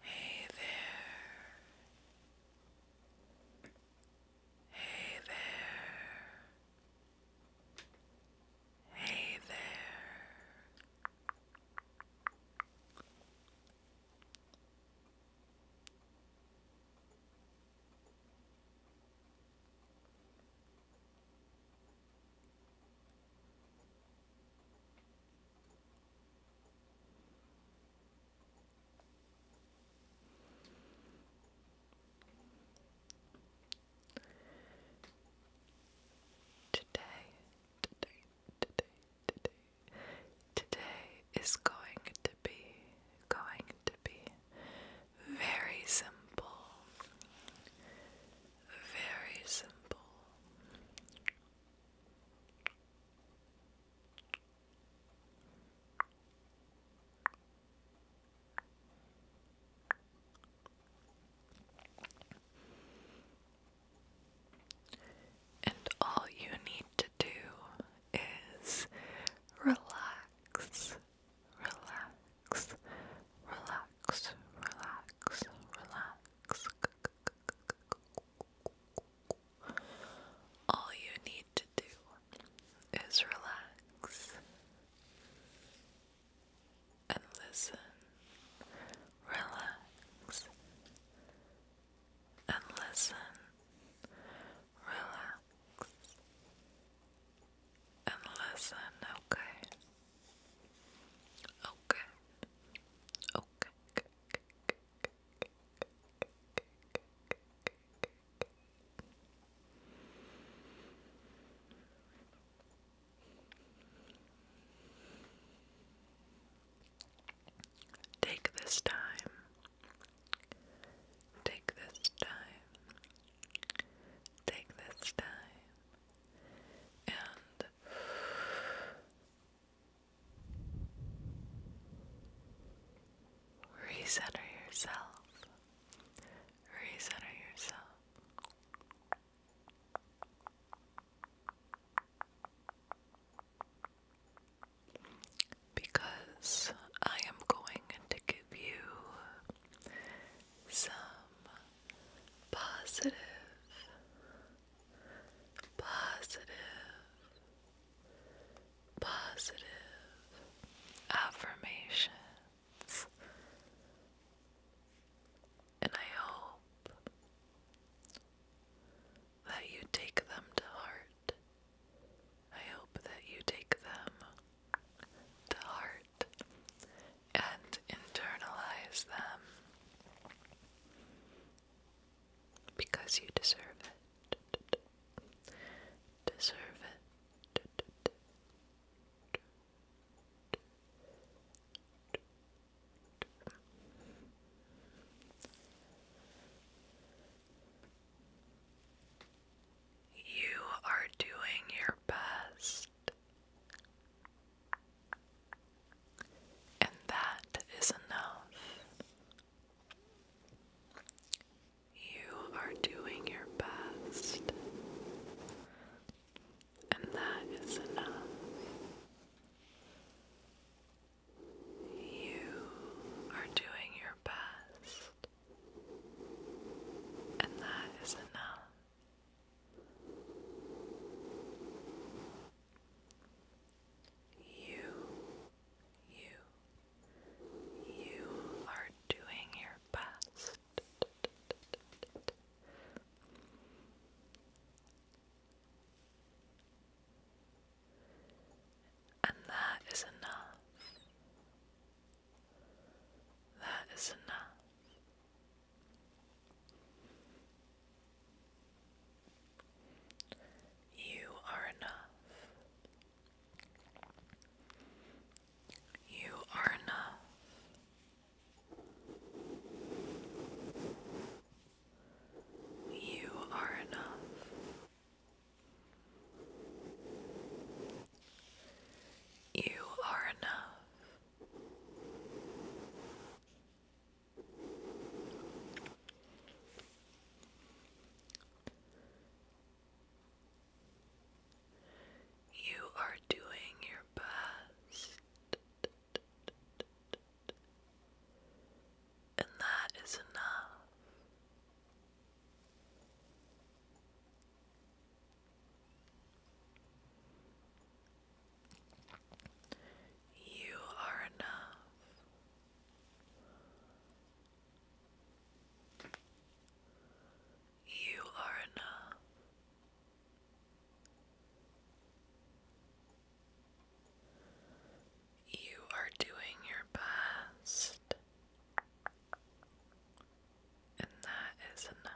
Hey there. Hey there. Hey there. Today, today, today, today, today is going to be, going to be very simple, very simple, and all you need to do is relax, relax, relax, relax, relax. All you need to do is relax and listen. Relax and listen. Relax and listen, okay? Okay. Okay. Take this time. Take this time. Take this time. And Recenter yourself. Recenter yourself. Because I am going to give you some positive positive, positive affirmations. And I hope that you take them to heart. I hope that you take them to heart and internalize them because you deserve it. Deserve it. You are doing your best. And that is enough. You are doing your best, and that is enough. You are doing your best, and that is enough. You, you, you are doing your best. And that is enough. That is enough. You are enough. You are enough. You are enough. You are enough. You are doing your best. And that is enough. You are enough. You are enough. You are doing your best, and that is enough.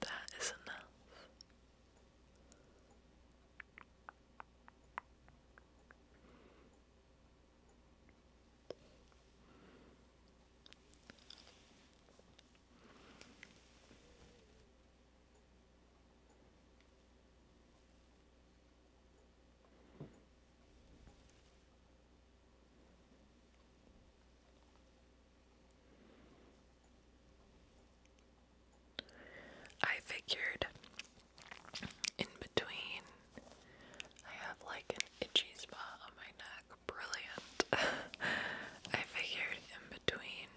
That is enough. I figured in between I have like an itchy spot on my neck. Brilliant. I figured in between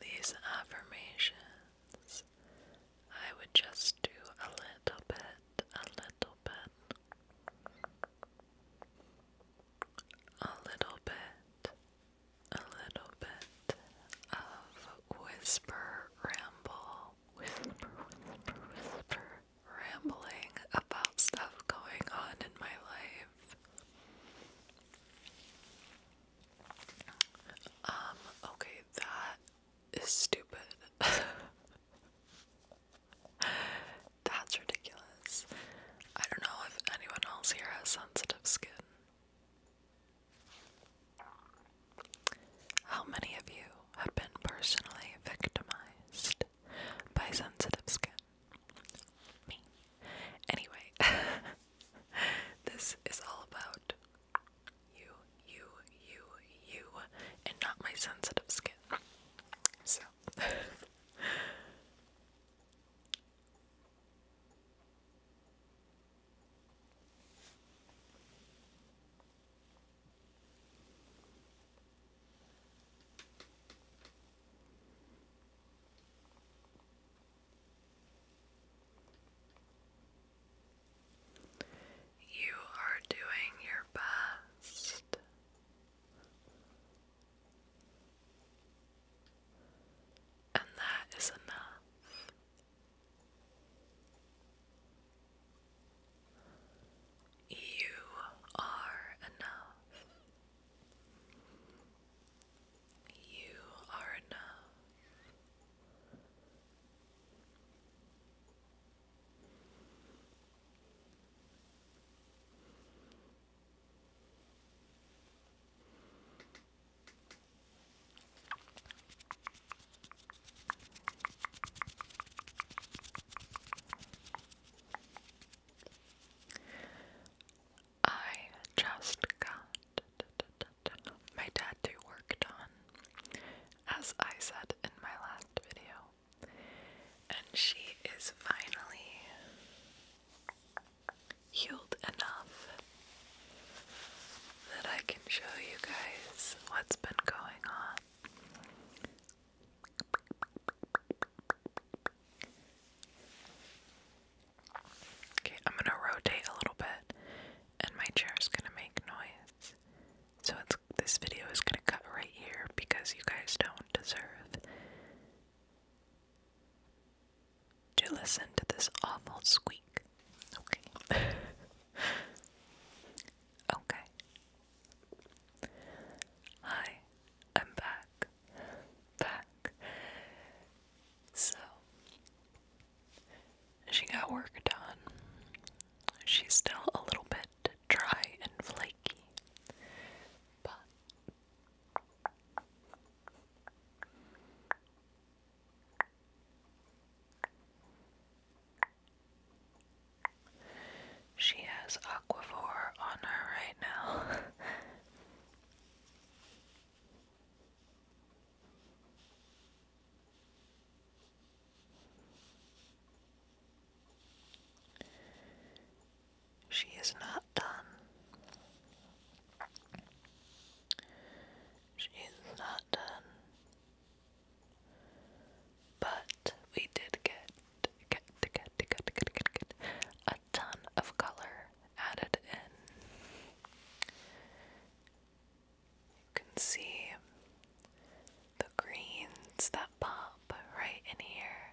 these affirmations I would just do a little bit, a little bit, a little bit, a little bit of whisper ramble, whisper, whisper, whisper, rambling about stuff going on in my life. Um, okay, that is stupid. That's ridiculous. I don't know if anyone else here has sensitive skin. How many of you have been personally victimized by sensitive skin? Me. Anyway, this is all about you, you, you, you, and not my sensitive skin. So, you are doing your best. And that is enough. You are enough. You are enough. I just got my tattoo worked on, as I said in my last video. And she is finally healed enough that I can show you guys what's been going on. Okay, I'm gonna rotate a little bit, and my chair's gonna make noise. So this video is gonna cut right here because you guys don't deserve. To listen to this awful squeak. Okay. okay. Hi, I'm back. Back. So, she got work done. She's still a little bit dry and flaky, but she has Aquaphor on her right now. She is not done. She is not done. But we did get get get get get get, get, get a ton of color added in. You can see the greens that pop right in here,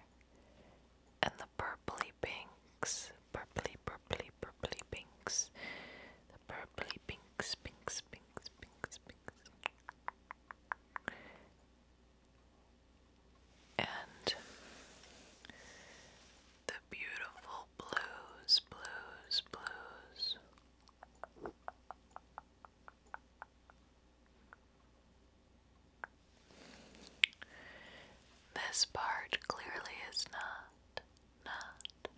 and the purpley pinks, purpley, purpley, purpley pinks, the purpley pinks, pinks, pinks, pinks, pinks. And the beautiful blues, blues, blues. This part clearly is not, not,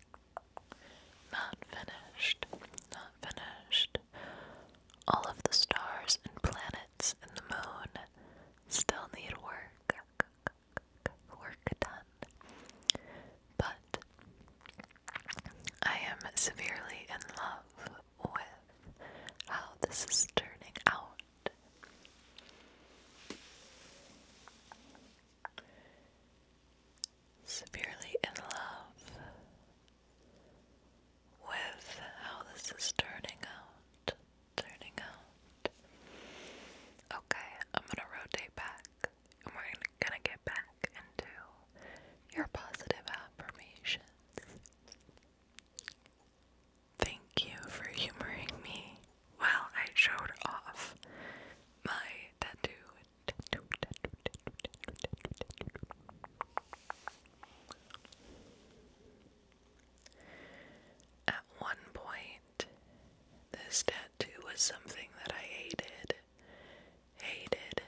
not finished, not finished. All of the stars and planets and the moon still need work, work done. But I am severely in love with how this is turning out. Severely in love with how this is turning out. Turning out. Okay, I'm gonna rotate back and we're gonna get back into your positive affirmations. Thank you for humoring me while I showed off my tattoo. tattoo. At one point, this tattoo was something that I hated, hated,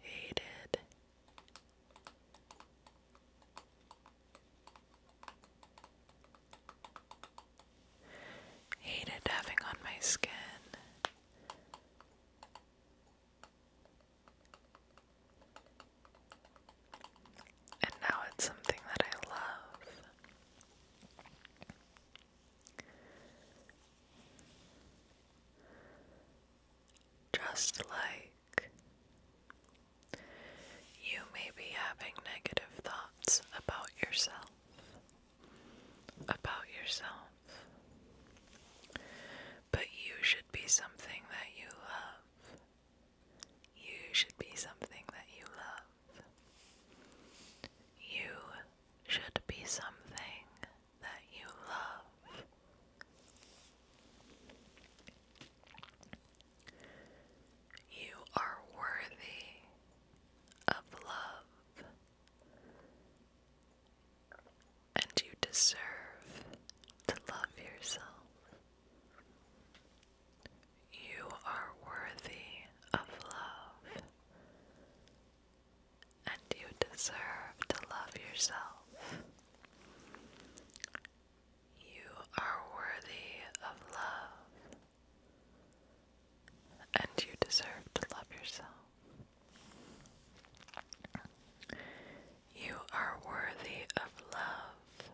hated, Hated having on my skin. And now it's something that I love. Just like you may be having negative thoughts about yourself, about yourself, but you should be something that you love. You should be something that you love. You should be something that you love. You are worthy of love, and you deserve to love yourself. You are worthy of love, and you deserve to love yourself. You are worthy of love. And you deserve to love yourself. You are worthy of love.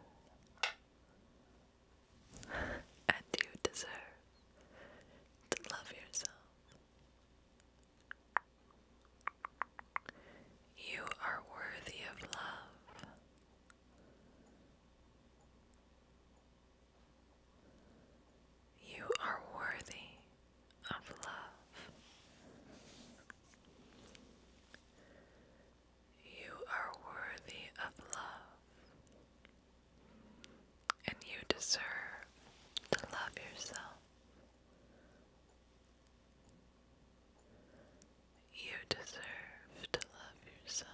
And you deserve to love yourself. You are worthy of love. You are worthy of love. You are worthy of love. And you deserve to love yourself. You deserve to love yourself.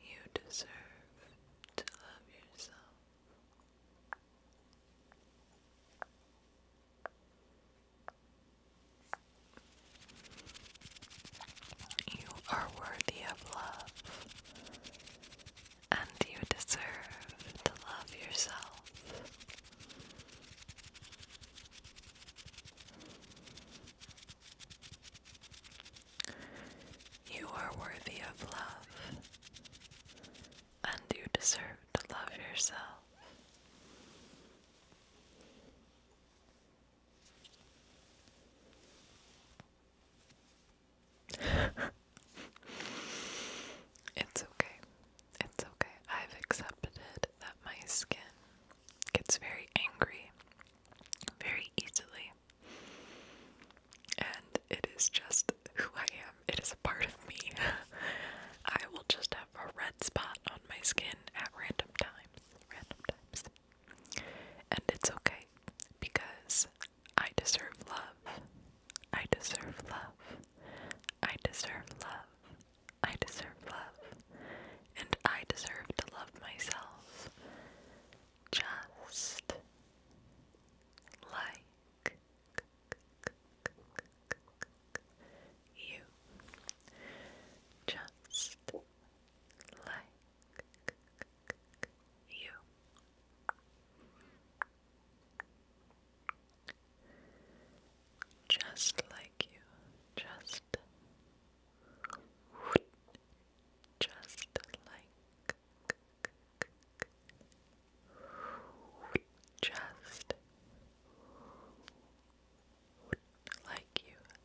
You deserve to love yourself. You are worthy of love. And you deserve to love yourself. You are worthy of love, and you deserve to love yourself it's okay. It's okay. I've accepted that my skin gets very angry very easily. And it is just who I am. It is a part of me. I will just have a red spot on my skin at random times. Random times. And it's okay. Because I deserve love. I deserve love. I deserve love. I deserve love. And I deserve to love myself just like you. Just like you. Just like you, just, just like, just like you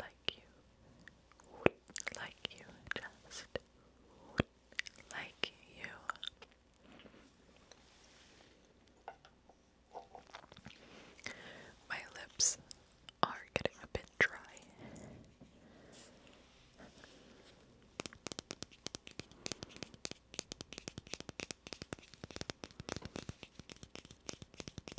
like you, like you, just like you. My lips are getting a bit dry.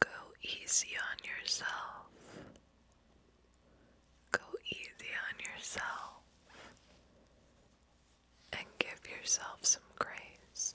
Go easy on yourself. Go easy on yourself and give yourself some grace.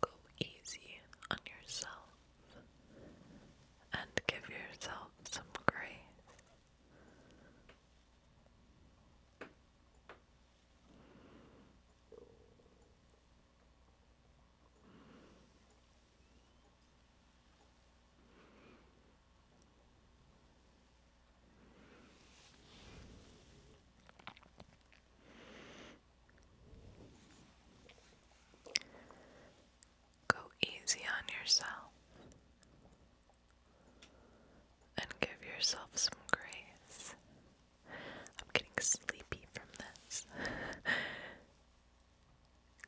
go, easy on yourself and give yourself some grace. Go easy on yourself and give yourself some grace. I'm getting sleepy from this.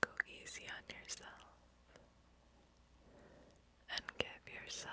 Go easy on yourself and give yourself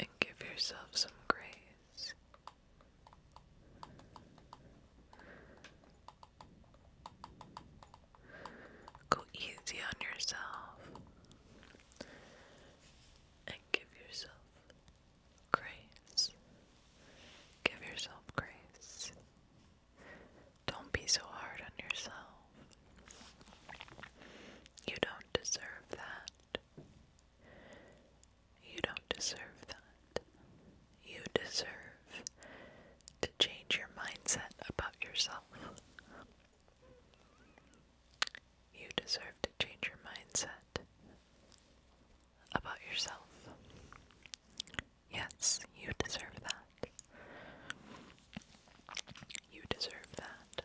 and give yourself some grace. Go easy on yourself and give yourself grace. Give yourself grace. Don't be so hard on yourself. You don't deserve that. You don't deserve that. You deserve to change your mindset about yourself. You deserve to change your mindset about yourself. Yes, you deserve that. You deserve that.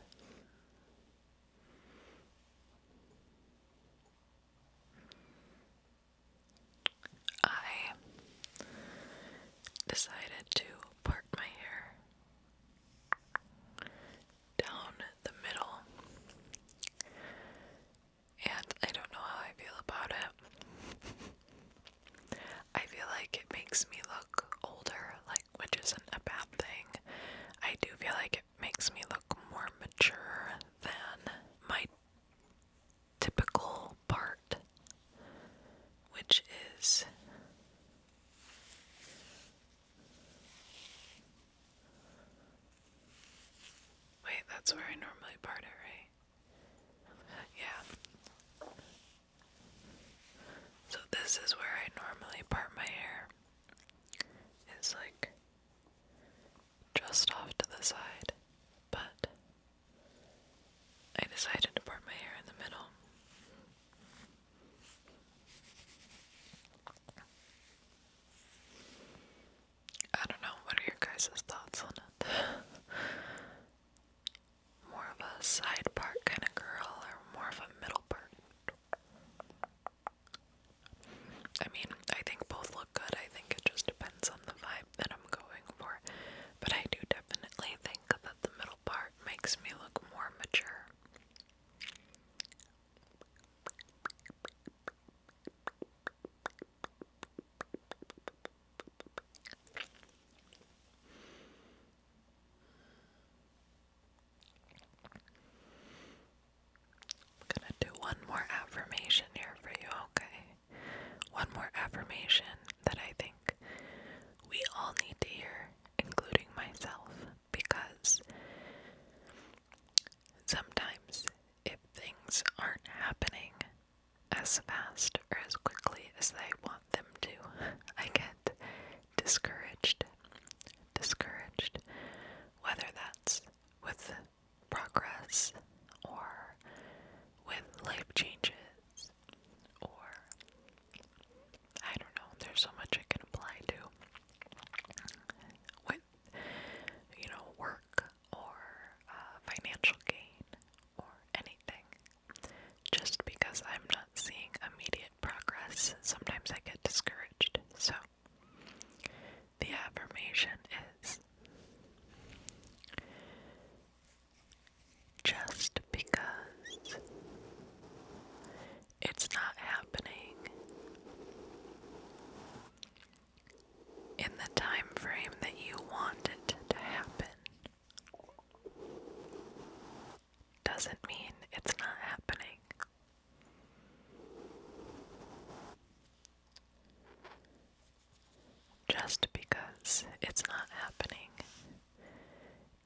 I decided to part my hair down the middle, and I don't know how I feel about it. I feel like it makes me look older, Like which isn't a bad thing. I do feel like it makes me look more mature than my typical part, which is Wait, that's where I normally part it, right? Yeah. So this is where I normally part my hair. It's like just off to the side, but I decided to part my hair in the middle. I don't know, what are your guys' thoughts on it? more of a side part kind of girl or more of a middle part? I mean, I think both look good. I think it just depends on the vibe that I'm going for. But I do definitely think that the middle part makes me look more mature. I'm gonna do one more affirmation here for you, okay? One more affirmation that I think we all need to hear, including myself, because sometimes if things aren't happening as fast or as quickly as I want them to, I get discouraged. Discouraged. Whether that's with progress or with life changes or I don't know, there's so much I can apply to with you know work or uh, financial gain or anything just because I'm not seeing immediate progress, sometimes I get discouraged. So, the affirmation is just because it's not happening in the time frame that you want it to happen doesn't mean it's not happening. Just because it's not happening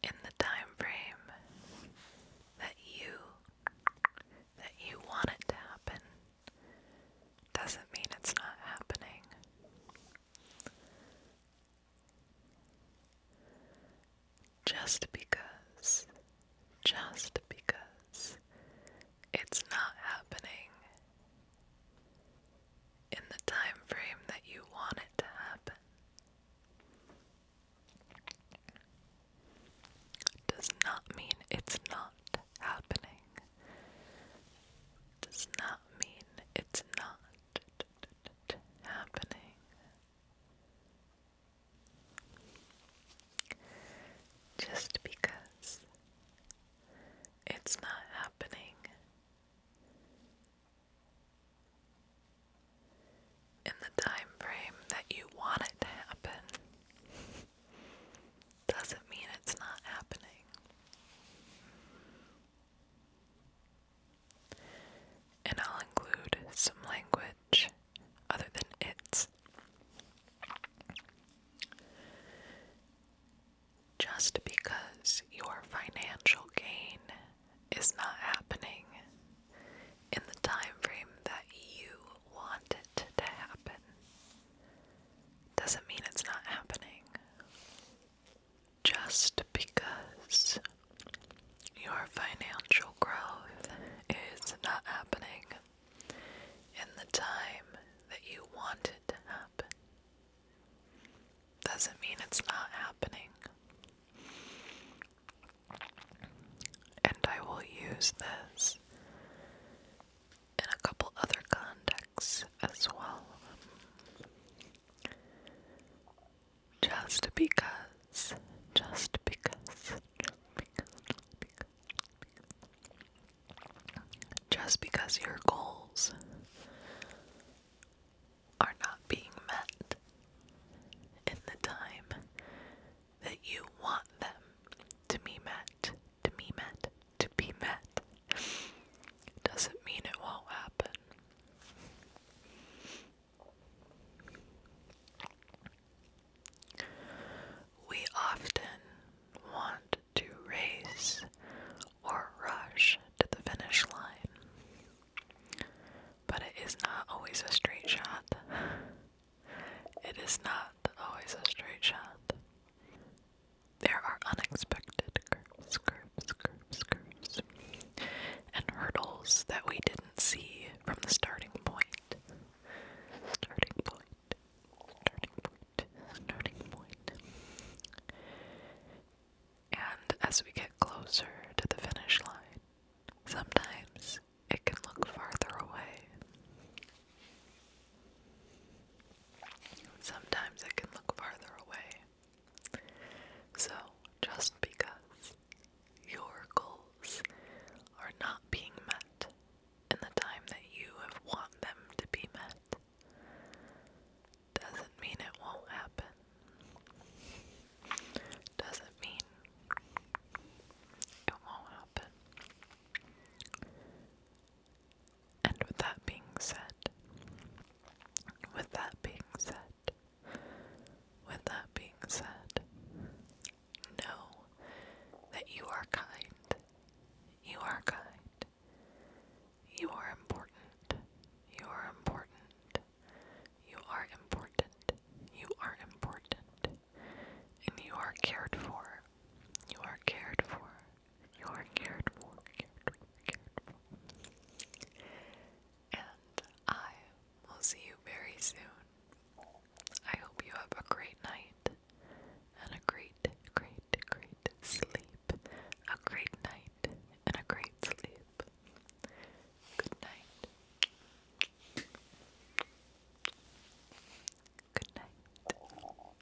in the time frame that you that you want it to happen doesn't mean it's not happening. Just because, just because it's not happening in the time frame that you want it to happen does not mean it's not happening. Does not mean it's not happening. Just because it's not happening in the time frame that you want it to happen doesn't mean it's not happening. And I'll include some language other than it's. Just because your financial gain is not happening in the time frame that you want it to happen doesn't mean it's not happening just because your financial growth is not happening in the time that you want it to happen doesn't mean it's not happening. And I will use this in a couple other contexts as well. Just because. Just because. Just because your goals are not being met in the time that you want them to be met, to be met, to be met, doesn't mean it won't happen. We often want to race or rush to the finish line, but it is not always a straight shot. It is not always a straight shot. There are unexpected curves, curves, curves, and hurdles that we didn't see from the starting point. Starting point, starting point, starting point. And as we get closer to the finish line, sometimes it can look farther away. Sometimes it can look farther away. So, just because your goals are not being met in the time that you have want them to be met, doesn't mean it won't happen. Doesn't mean it won't happen. And with that being said, with that being said, with that being said, know that you are kind. You are kind. You are important. You are important. You are important. You are important. And you are cared for. You are cared for. You're cared for, cared for, cared for. And I will see you very soon. I hope you have a great night and a great, great, great sleep. A great night and a great sleep. Good night. Good night.